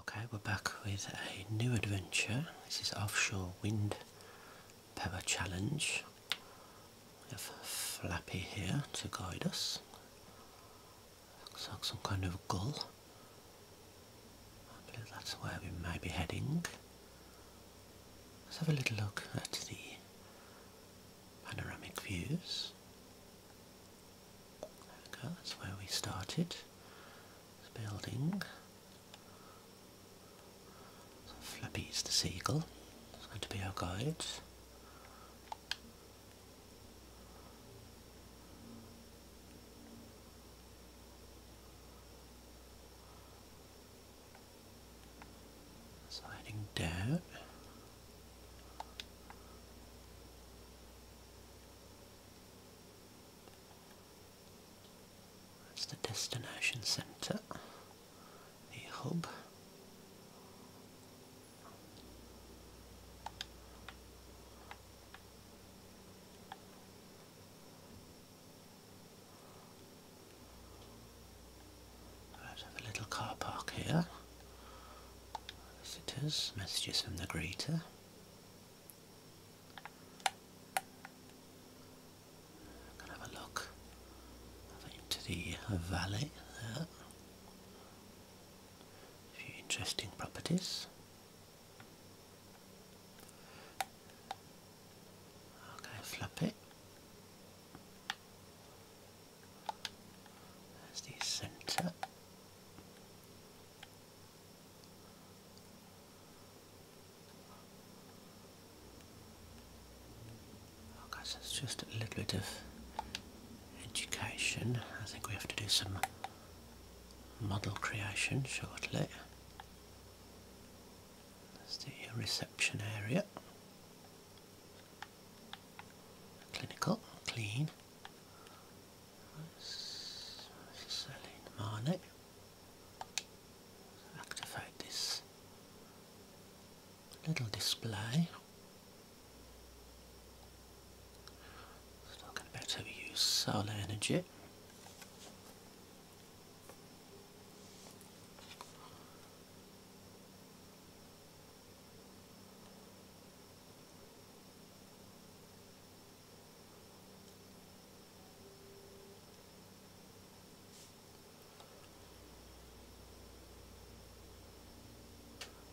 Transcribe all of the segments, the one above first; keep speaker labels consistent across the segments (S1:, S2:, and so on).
S1: Okay, we're back with a new adventure. This is Offshore Wind Power Challenge. We have Flappy here to guide us. Looks like some kind of gull. I believe that's where we may be heading. Let's have a little look at the panoramic views. There that's where we started. This building. So Flappy's the seagull. It's going to be our guide. Sliding down. That's the destination centre, the hub. Right, have a little car park here. Visitors, messages from the greeter have a look into the uh, valley there. A few interesting properties. Okay, flap it. There's the centre. Oh guys, that's just a little bit of education. I think we have to do some model creation shortly. Let's do your reception area. Clinical, clean. Celine Marnie. Activate this little display. Talking about how we use solar energy.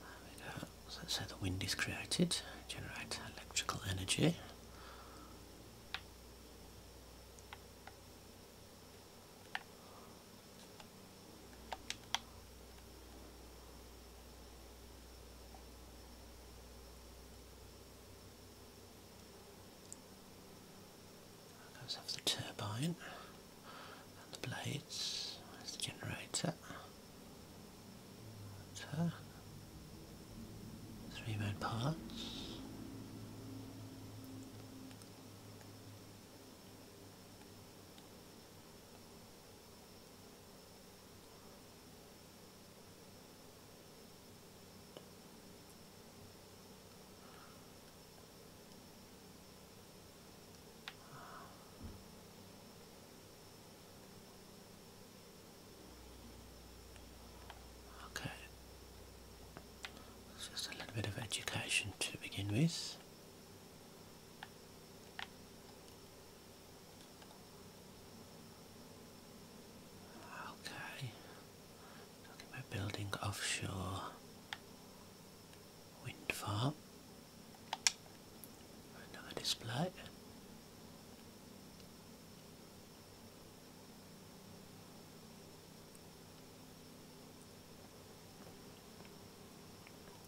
S1: There we go. So the wind is created, generate electrical energy. That goes off the turbine and the blades. There's the generator. Three main parts. Okay, just a little bit of education to begin with. Okay. Talking about building offshore wind farm. Another display.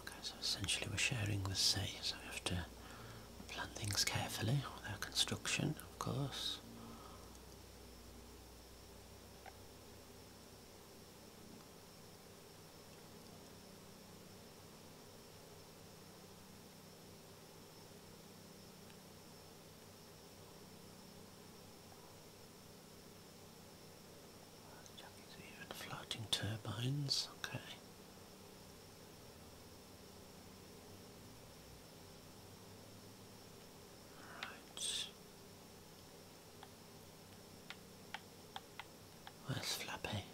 S1: Okay, so essentially we're sharing the sea, so we have to plan things carefully with our construction, of course. Even floating turbines, okay. Right. Where's Flappy?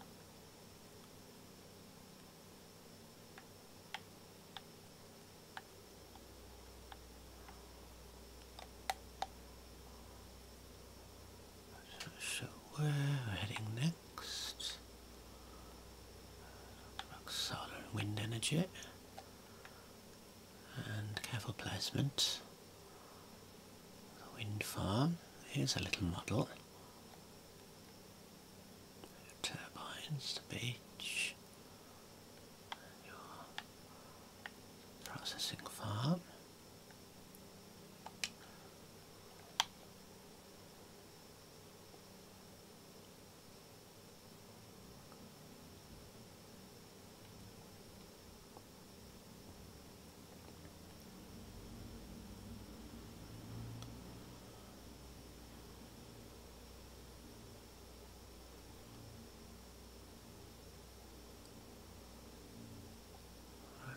S1: So we're heading next. About solar and wind energy and careful placement. The wind farm. Here's a little model. Turbines, the beach, processing farm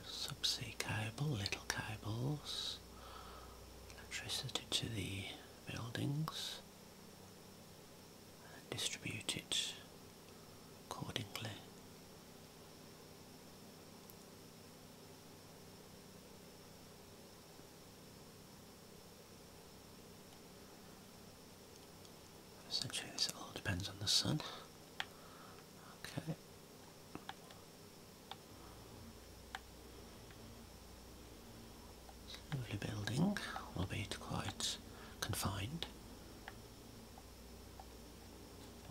S1: subsea cables, little cables, electricity to the buildings, distributed accordingly. Essentially this all depends on the sun. Okay. It's lovely building, albeit quite confined.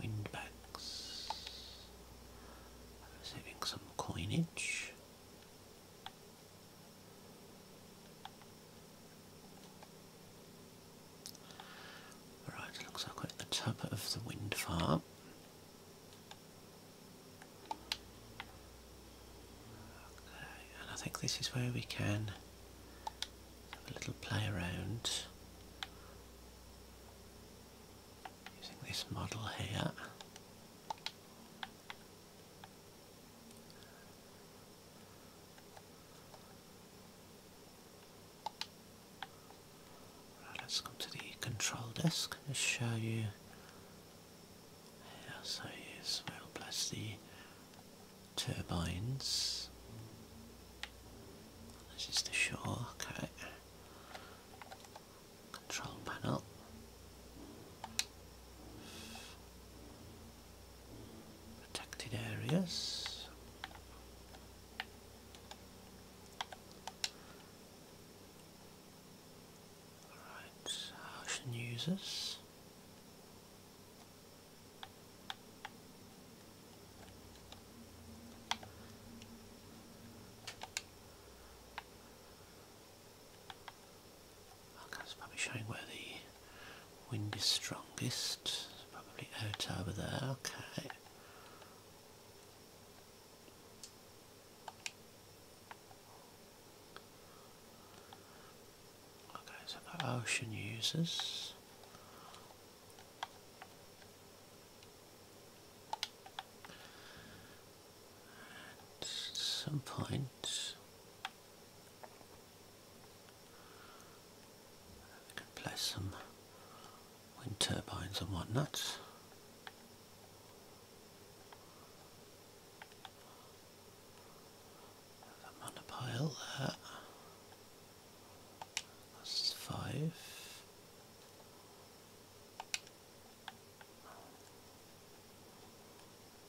S1: Windbags. Receiving some coinage. Alright, looks like we're at the top of the wind farm. Okay, and I think this is where we can have a little play around using this model here let's come to the control desk and show you how so yes, we'll place the turbines. This is the shore, okay. Control panel. Protected areas. Alright, ocean users. Okay, it's probably showing where the wind is strongest. It's probably out over there, okay. Okay, so for ocean users. At some point, I can place some wind turbines and whatnot. Have a there. That's five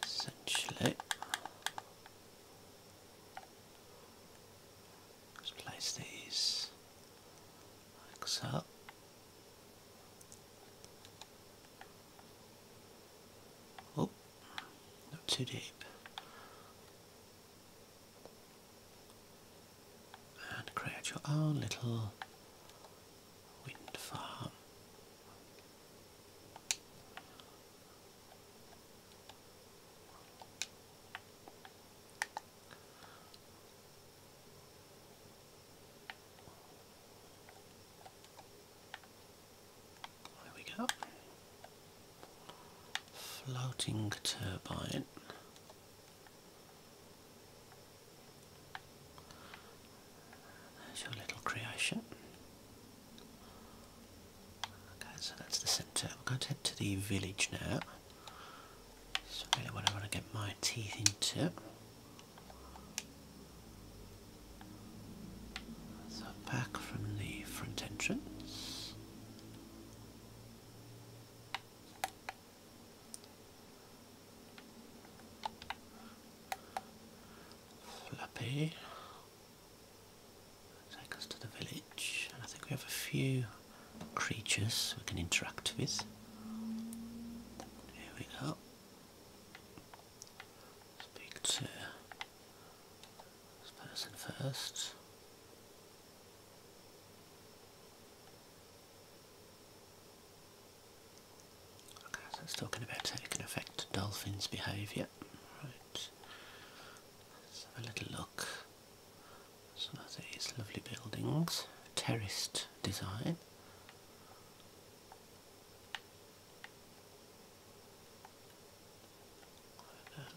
S1: essentially. Just place these like so. Oh, not too deep. And create your own little wind farm. There we go. Floating turbine. There's your little creation. Okay, so that's the centre. I'm going to head to the village now. That's really what I want to get my teeth into. So back from the front entrance. Flappy. Take us to the village, and I think we have a few creatures we can interact with. Here we go. Speak to this person first. Okay, so it's talking about how it can affect dolphins' behaviour. Right. Let's have a little look. Some of these lovely buildings. Terraced design.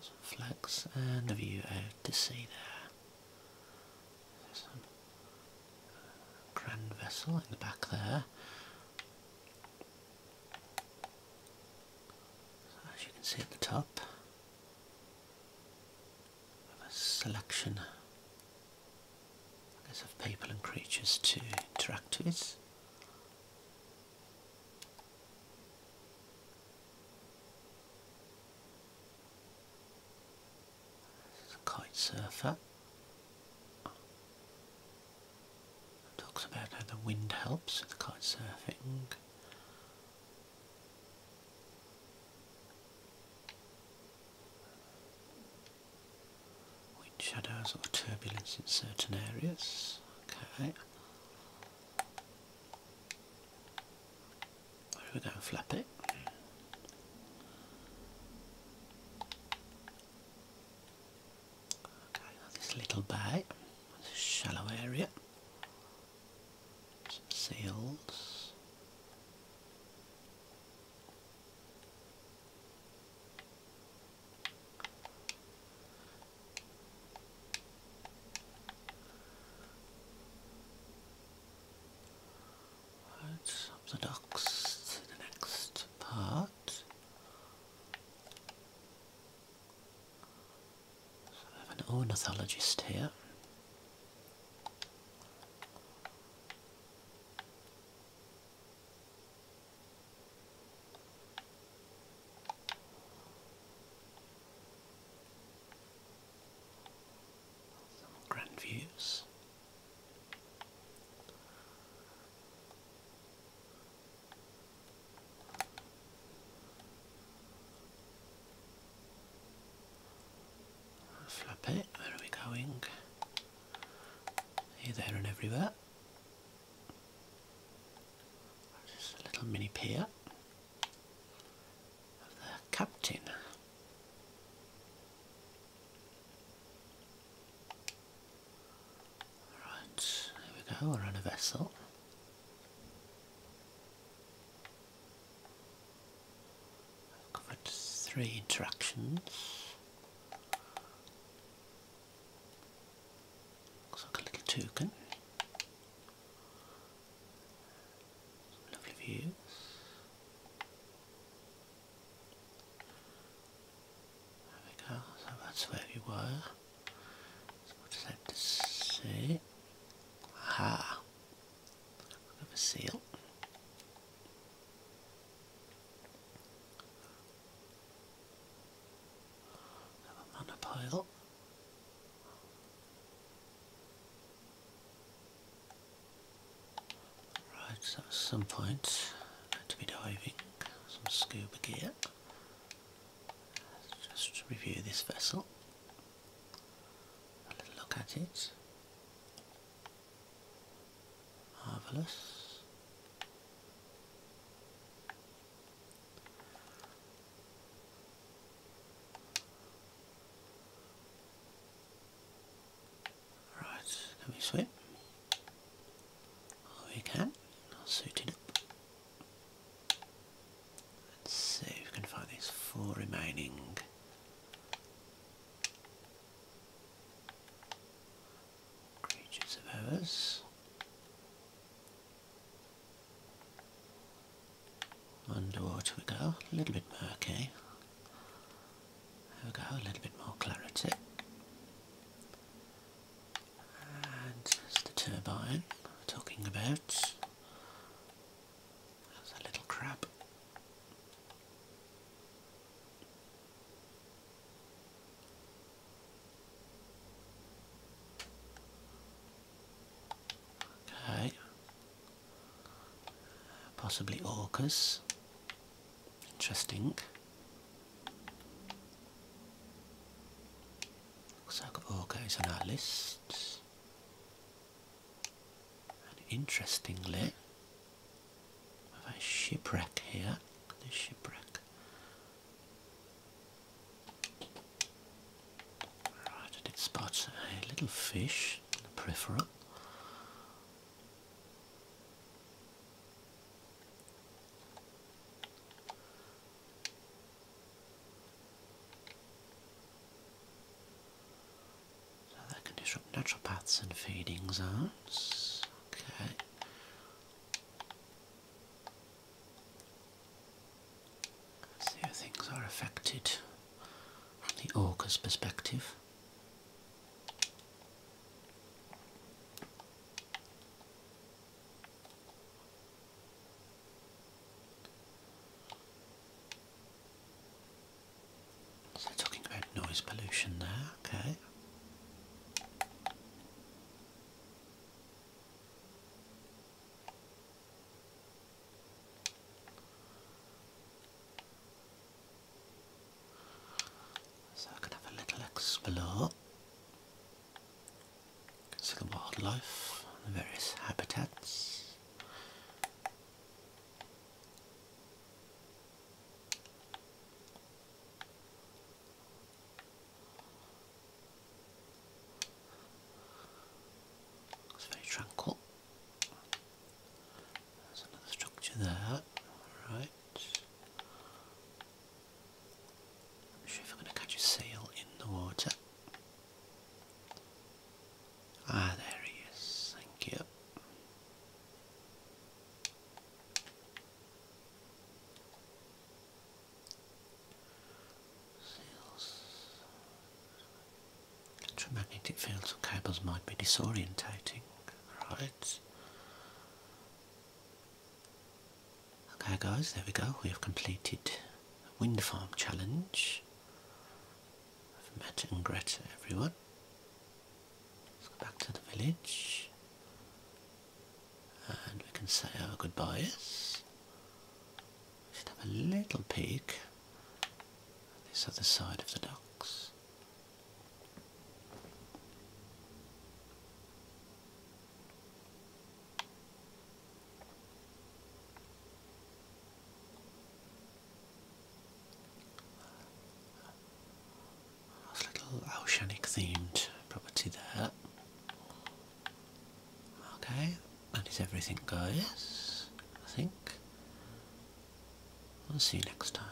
S1: Some flags and a view out to sea there. There's some grand vessel in the back there. As you can see at the top, we a selection of people and creatures to interact with. is a kite surfer talks about how the wind helps with kite surfing. Wind shadows or turbulence in certain areas. Okay. We're going to flap it this little bay, this shallow area, some seals. Right, up the docks to the next part. So I have an ornithologist here. Some grand views. Flap it, where are we going? Here, there and everywhere. Just a little mini pier of the captain. Right, there we go, we're on a vessel. covered three interactions. Looks like a little toucan. lovely views. There we go, so that's where we were. So what does that say? Aha! Look at seal. Another monopile. Right, so some point, to be diving some scuba gear. Let's just review this vessel. A little look at it. Marvellous. Right, can we swim? we can. suit it up. Let's see if we can find these four remaining. Creatures of ours. Underwater we go, a little bit murky. There we go, a little bit more clarity. And there's the turbine I'm talking about. That's a little crab. Okay. Possibly orcas. Interesting. Looks like all is on our list. And interestingly, we have a shipwreck here. This shipwreck. Right, I did spot a little fish in the peripheral that can disrupt natural paths and feeding zones. Okay. see how things are affected from the orca's perspective. So talking about noise pollution there, okay. So I can have a little explore. See the wildlife, the various habitats. It's very tranquil.
S2: There's another structure there.
S1: Right. I'm sure if I'm going to catch a seal in the water. Ah, there he is. Thank you. Sails. Electromagnetic fields and cables might be disorientating. Right. Okay guys, there we go. We have completed the wind farm challenge. I've met and Greta everyone. Let's go back to the village. And we can say our goodbyes. Should have a little peek at this other side of the docks. That's a little oceanic themed property there. Okay, that is everything Yes, I think. I'll see you next time.